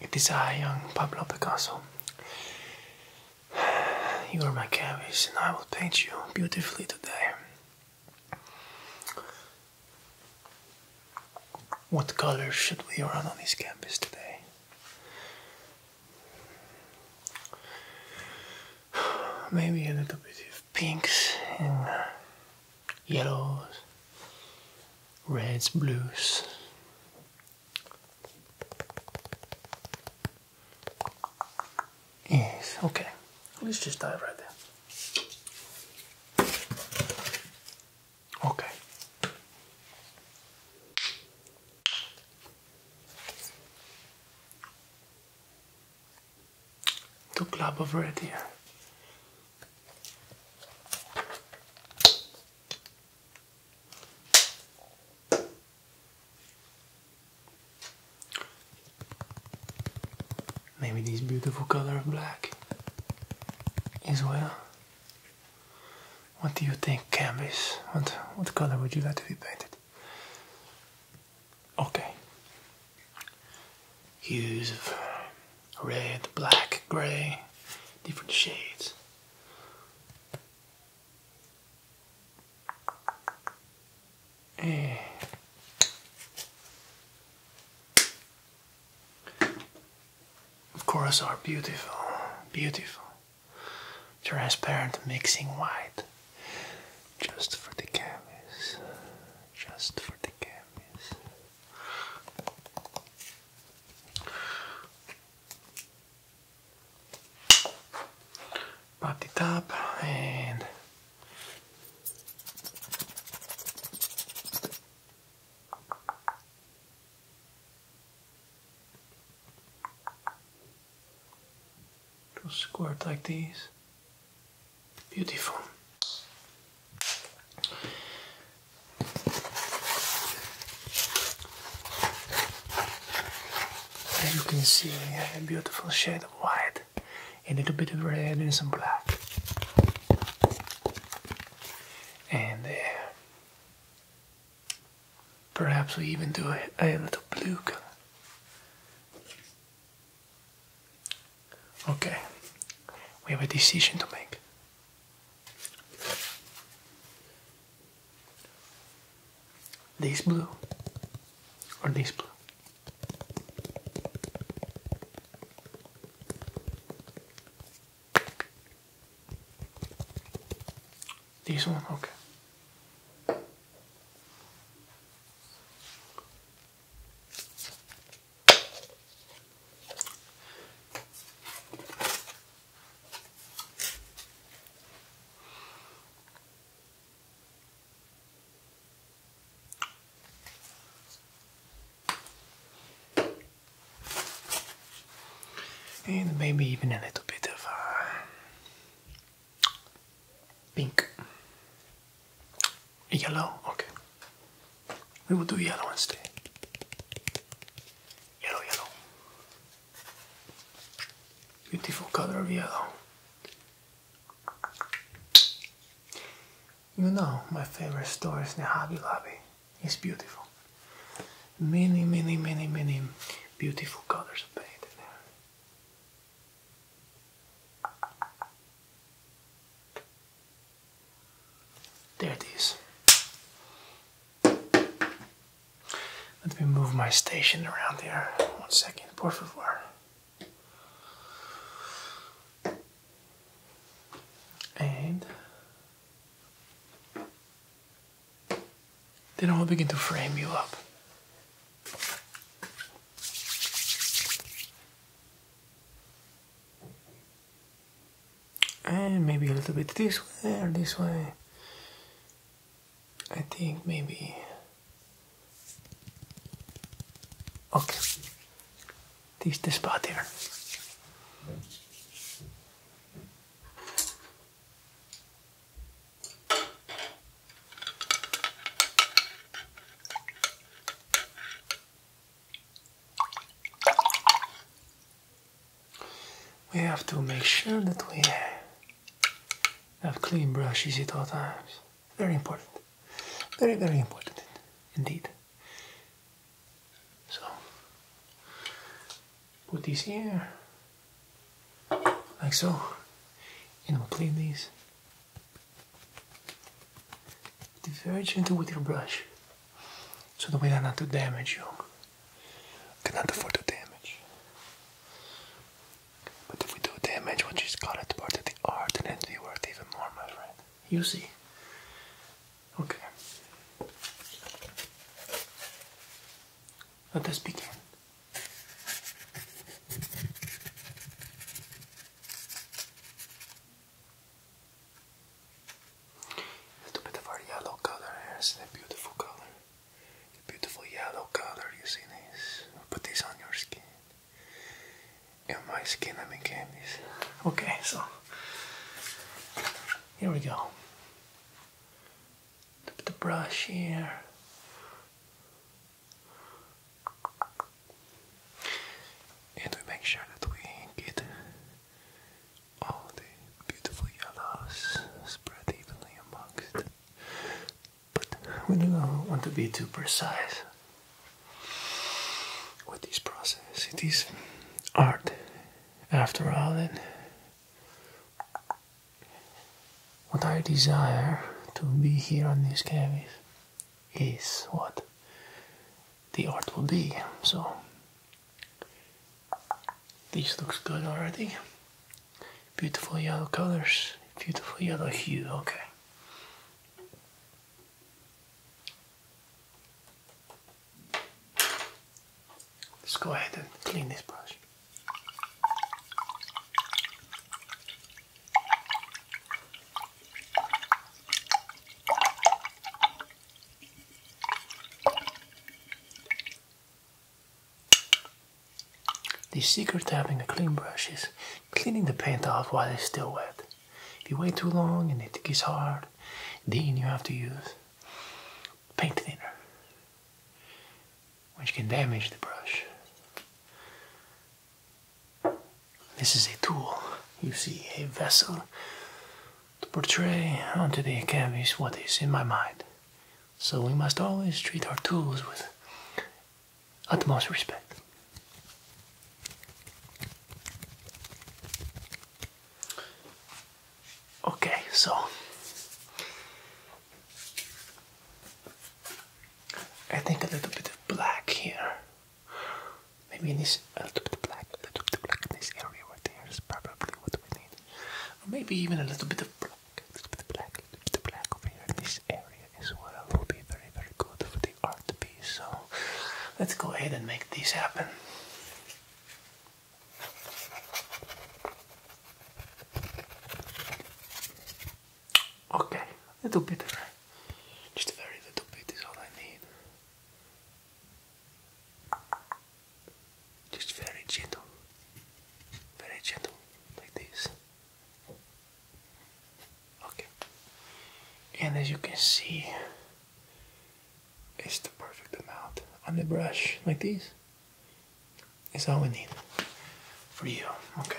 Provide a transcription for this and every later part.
It is I, young Pablo Picasso. You are my canvas, and I will paint you beautifully today. What colors should we run on this canvas today? Maybe a little bit pinks and yellows, reds, blues. Yes, okay. Let's just dive right there. Okay to club of red here. Maybe this beautiful color of black is well. What do you think, canvas? What what color would you like to be painted? Okay, hues of red, black, grey, different shades. Eh. of course, are beautiful, beautiful transparent mixing white. Just for the cameras. Just for the cameras. Pop the top and it squirt like these. Beautiful. As you can see, a beautiful shade of white, a little bit of red, and some black. And uh, perhaps we even do a little blue color. Okay, we have a decision to make. This blue or this blue? This one, okay. And maybe even a little bit of uh, Pink. Yellow? Okay. We will do yellow instead. Yellow, yellow. Beautiful color of yellow. You know, my favorite store is the Hobby Lobby. It's beautiful. Many, many, many, many beautiful colors are painted there. There it is. Let me move my station around here. One second, por And then I'll begin to frame you up and maybe a little bit this way or this way. I think maybe. Okay, this is the spot here. We have to make sure that we have clean brushes at all times. Very important. Very, very important indeed. So, put these here, like so, and we clean these. Be very gentle with your brush so that we do not have to damage you. Cannot afford to damage. But if we do damage, what which is called it part of the art, and it'll be worth even more, my friend. You see. Okay. Let us begin. A little bit of our yellow color here. It's beautiful color. The beautiful yellow color you see this. Put this on your skin. In my skin I mean candies. Okay, so here we go. Put the brush here. And we make sure that we get all the beautiful yellows spread evenly amongst. But we do not want to be too precise with this process. It is art after all and what I desire to be here on these canvas is what the art will be. So this looks good already. Beautiful yellow colors, beautiful yellow hue, okay. Let's go ahead and clean this brush. The secret to having a clean brush is cleaning the paint off while it's still wet. If you wait too long and it gets hard, then you have to use paint thinner, which can damage the brush. This is a tool, you see, a vessel to portray onto the canvas what is in my mind. So we must always treat our tools with utmost respect. Okay, so I think a little bit of black here Maybe in this a little bit black, a little bit black in this area right there is probably what we need. Or maybe even a little bit of black, little bit of black, little bit of black over here in this area as well will be very, very good for the art piece. So let's go ahead and make this happen. Okay, a little bit, right? Just a very little bit is all I need. Just very gentle, very gentle, like this. Okay, and as you can see, it's the perfect amount on the brush, like this. It's all we need for you. Okay.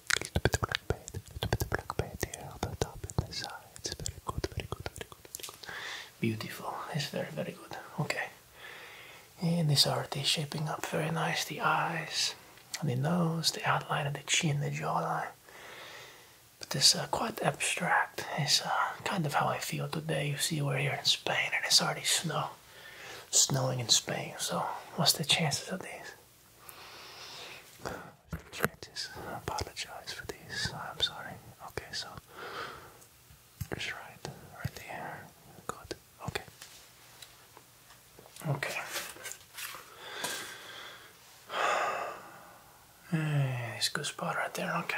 a little bit of black paint, a little bit of black paint here on the top and the Very good, very good, very good, very good. Beautiful. It's very, very good. Okay. And this art is shaping up very nice. The eyes, and the nose, the outline of the chin, the jawline. But this uh, quite abstract. It's uh, kind of how I feel today. You see, we're here in Spain, and it's already snow, snowing in Spain. So, what's the chances of this? check I apologize for these. I'm sorry. Okay, so it's right, right there. Good. Okay. Okay. Hey, it's a good spot right there. Okay.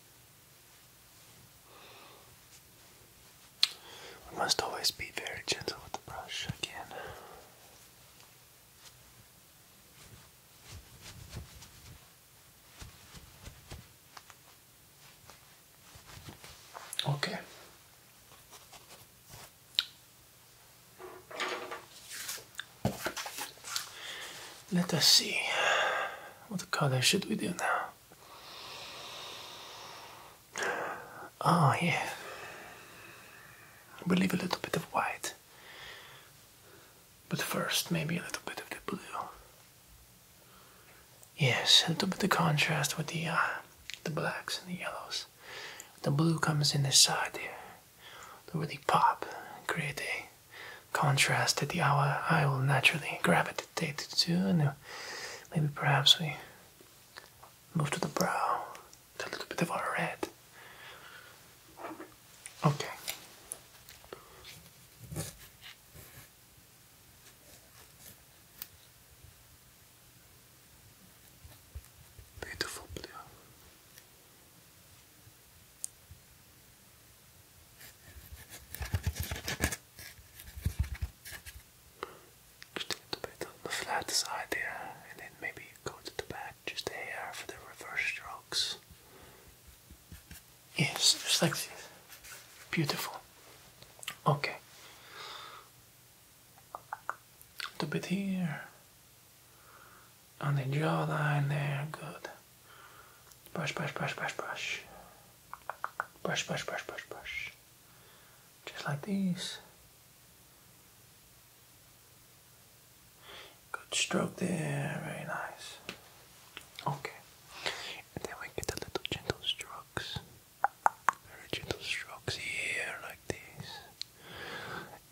We must always be very gentle with the brush again. Okay. Let us see. What color should we do now? Oh, yeah. we leave a little bit of white. But first, maybe a little bit of the blue. Yes, a little bit of contrast with the uh, the blacks and the yellows. The blue comes in the side here to really pop, create a contrast that the hour, I will naturally gravitate to, and uh, maybe perhaps we move to the brow, a little bit of our red. Okay. Beautiful blue. Just a little bit on the flat side there, and then maybe go to the back just here for the reverse strokes. Yes, just like this. Beautiful. Okay. A little bit here on the jawline there. Good. Brush, brush, brush, brush, brush. Brush, brush, brush, brush, brush. Just like these. Good stroke there. Very nice. Okay. And then we get a little gentle strokes. Very gentle strokes here, like this.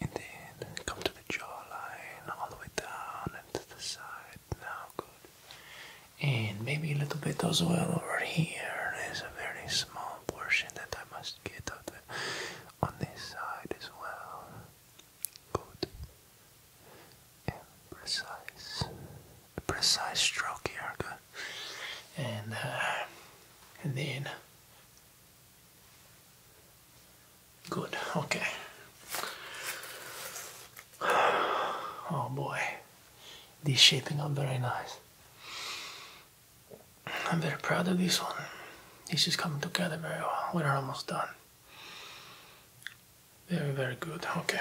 And then come to the jawline, all the way down and to the side now good. And maybe a little bit as well over here. There's a very small portion that I must get of on this side as well. Good. precise. A precise stroke here. And, uh, and then Good, okay. Oh boy, these shaping up very nice. I'm very proud of this one. This is coming together very well. We're almost done. Very, very good. Okay.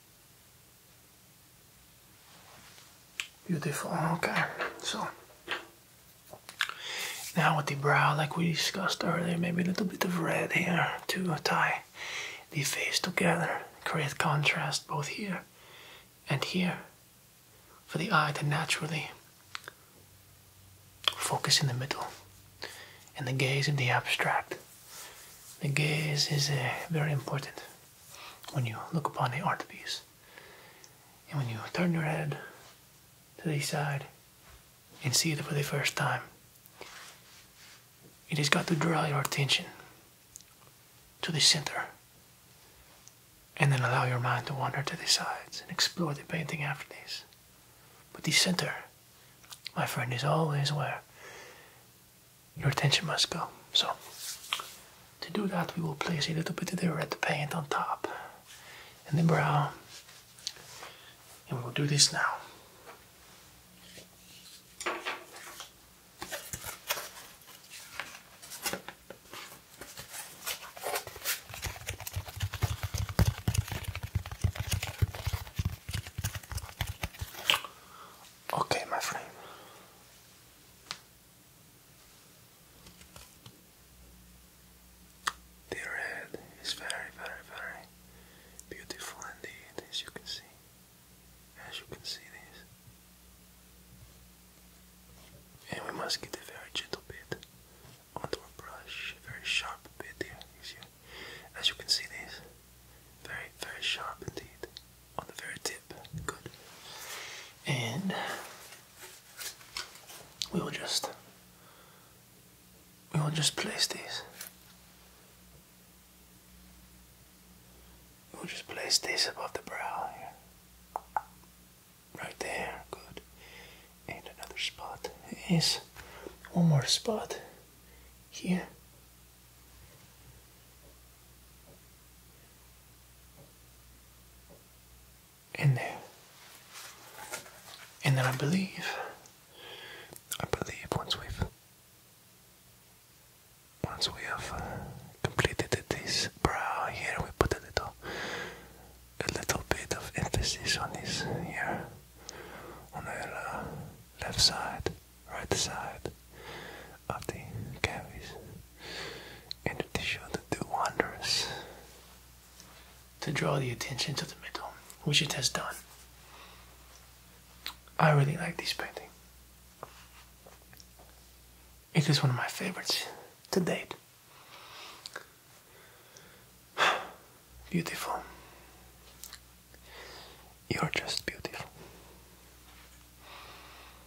Beautiful, okay. So, now with the brow, like we discussed earlier, maybe a little bit of red here to tie the face together, create contrast both here and here for the eye to naturally focus in the middle and the gaze in the abstract. The gaze is uh, very important when you look upon the art piece. And when you turn your head to the side and see it for the first time, it has got to draw your attention to the center and then allow your mind to wander to the sides and explore the painting after this. But the center, my friend, is always where your attention must go. So to do that, we will place a little bit of the red paint on top and the brown. And we'll do this now. Okay, my friend. The red is very, very, very beautiful indeed, as you can see. As you can see this. And we must get a very gentle bit onto our brush, very sharp bit here. As you can see this, very, very sharp indeed on the very tip. Good. And we will just we will just place these. We'll just place this above the brow here. Right there, good. And another spot is one more spot here in there. And then I believe, I believe once we've, once we have uh, completed this brow here, we put a little, a little bit of emphasis on this here, on the uh, left side, right side, of the cavities in the to do wonders. To draw the attention to the middle, which it has done. I really like this painting. It is one of my favorites to date. Beautiful. You're just beautiful.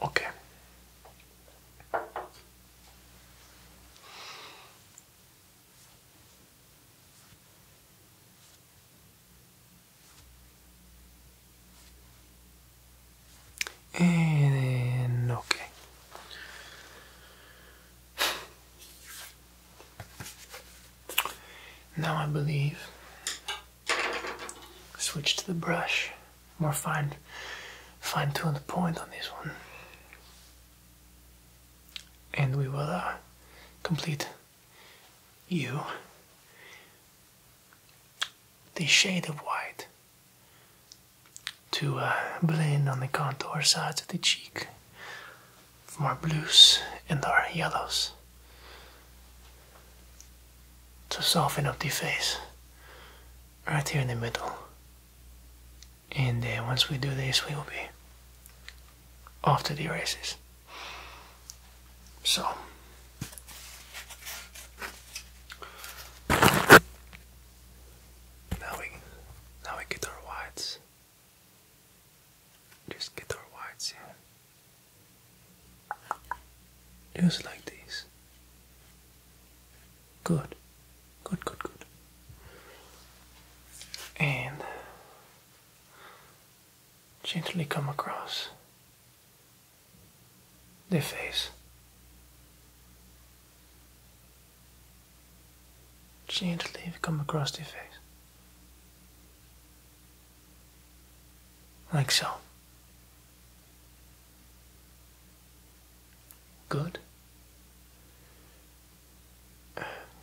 Okay. And eh, okay. Now I believe switch to the brush more fine, fine-tuned point on this one, and we will uh, complete you the shade of white to uh, blend on the contour sides of the cheek from our blues and our yellows to soften up the face right here in the middle. And uh, once we do this, we will be off to the races. So. Now we, now we get our whites. Just get our whites in. Just like this. Good. Good, good, good. And gently come across their face. Gently come across their face. Like so. Good.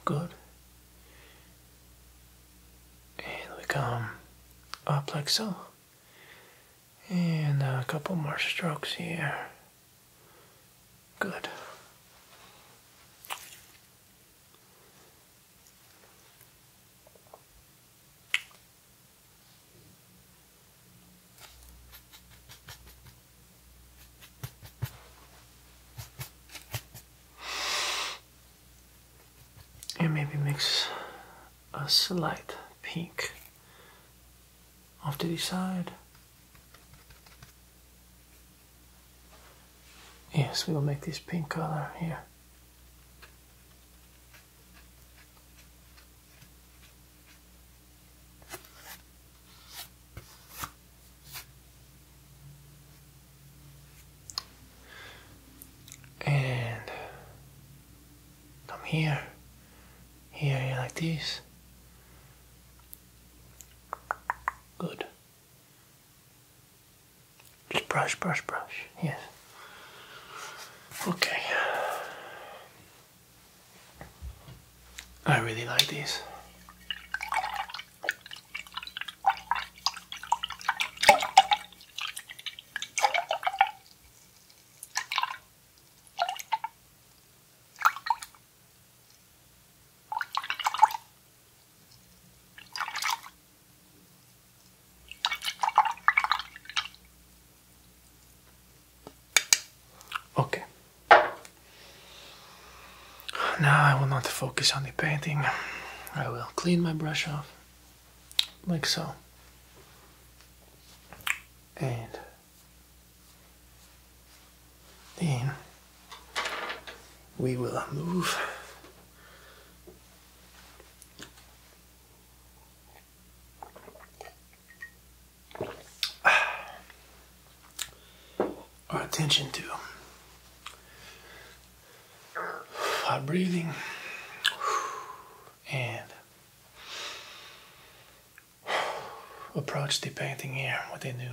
Good. And we come up like so. And uh, a couple more strokes here. Good and maybe mix a slight pink off to the side. Yes, we will make this pink color here. And come here, here, like this. Good. Just brush, brush, brush. Yes. Okay. I really like these. Okay. Now I will not focus on the painting. I will clean my brush off, like so. And then we will move our attention to our breathing and approach the painting here with a new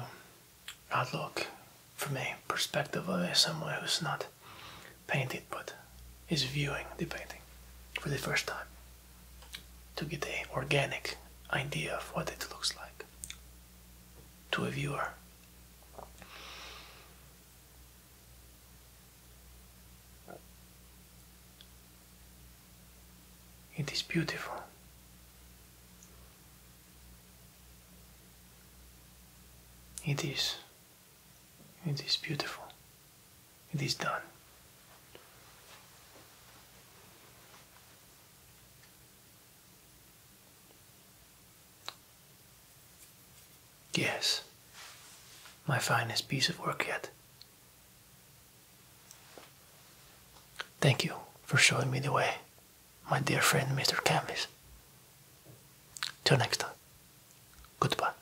outlook from a perspective of someone who's not painted but is viewing the painting for the first time to get an organic idea of what it looks like to a viewer. It is beautiful. It is. It is beautiful. It is done. Yes, my finest piece of work yet. Thank you for showing me the way, my dear friend Mr. Camis. Till next time, goodbye.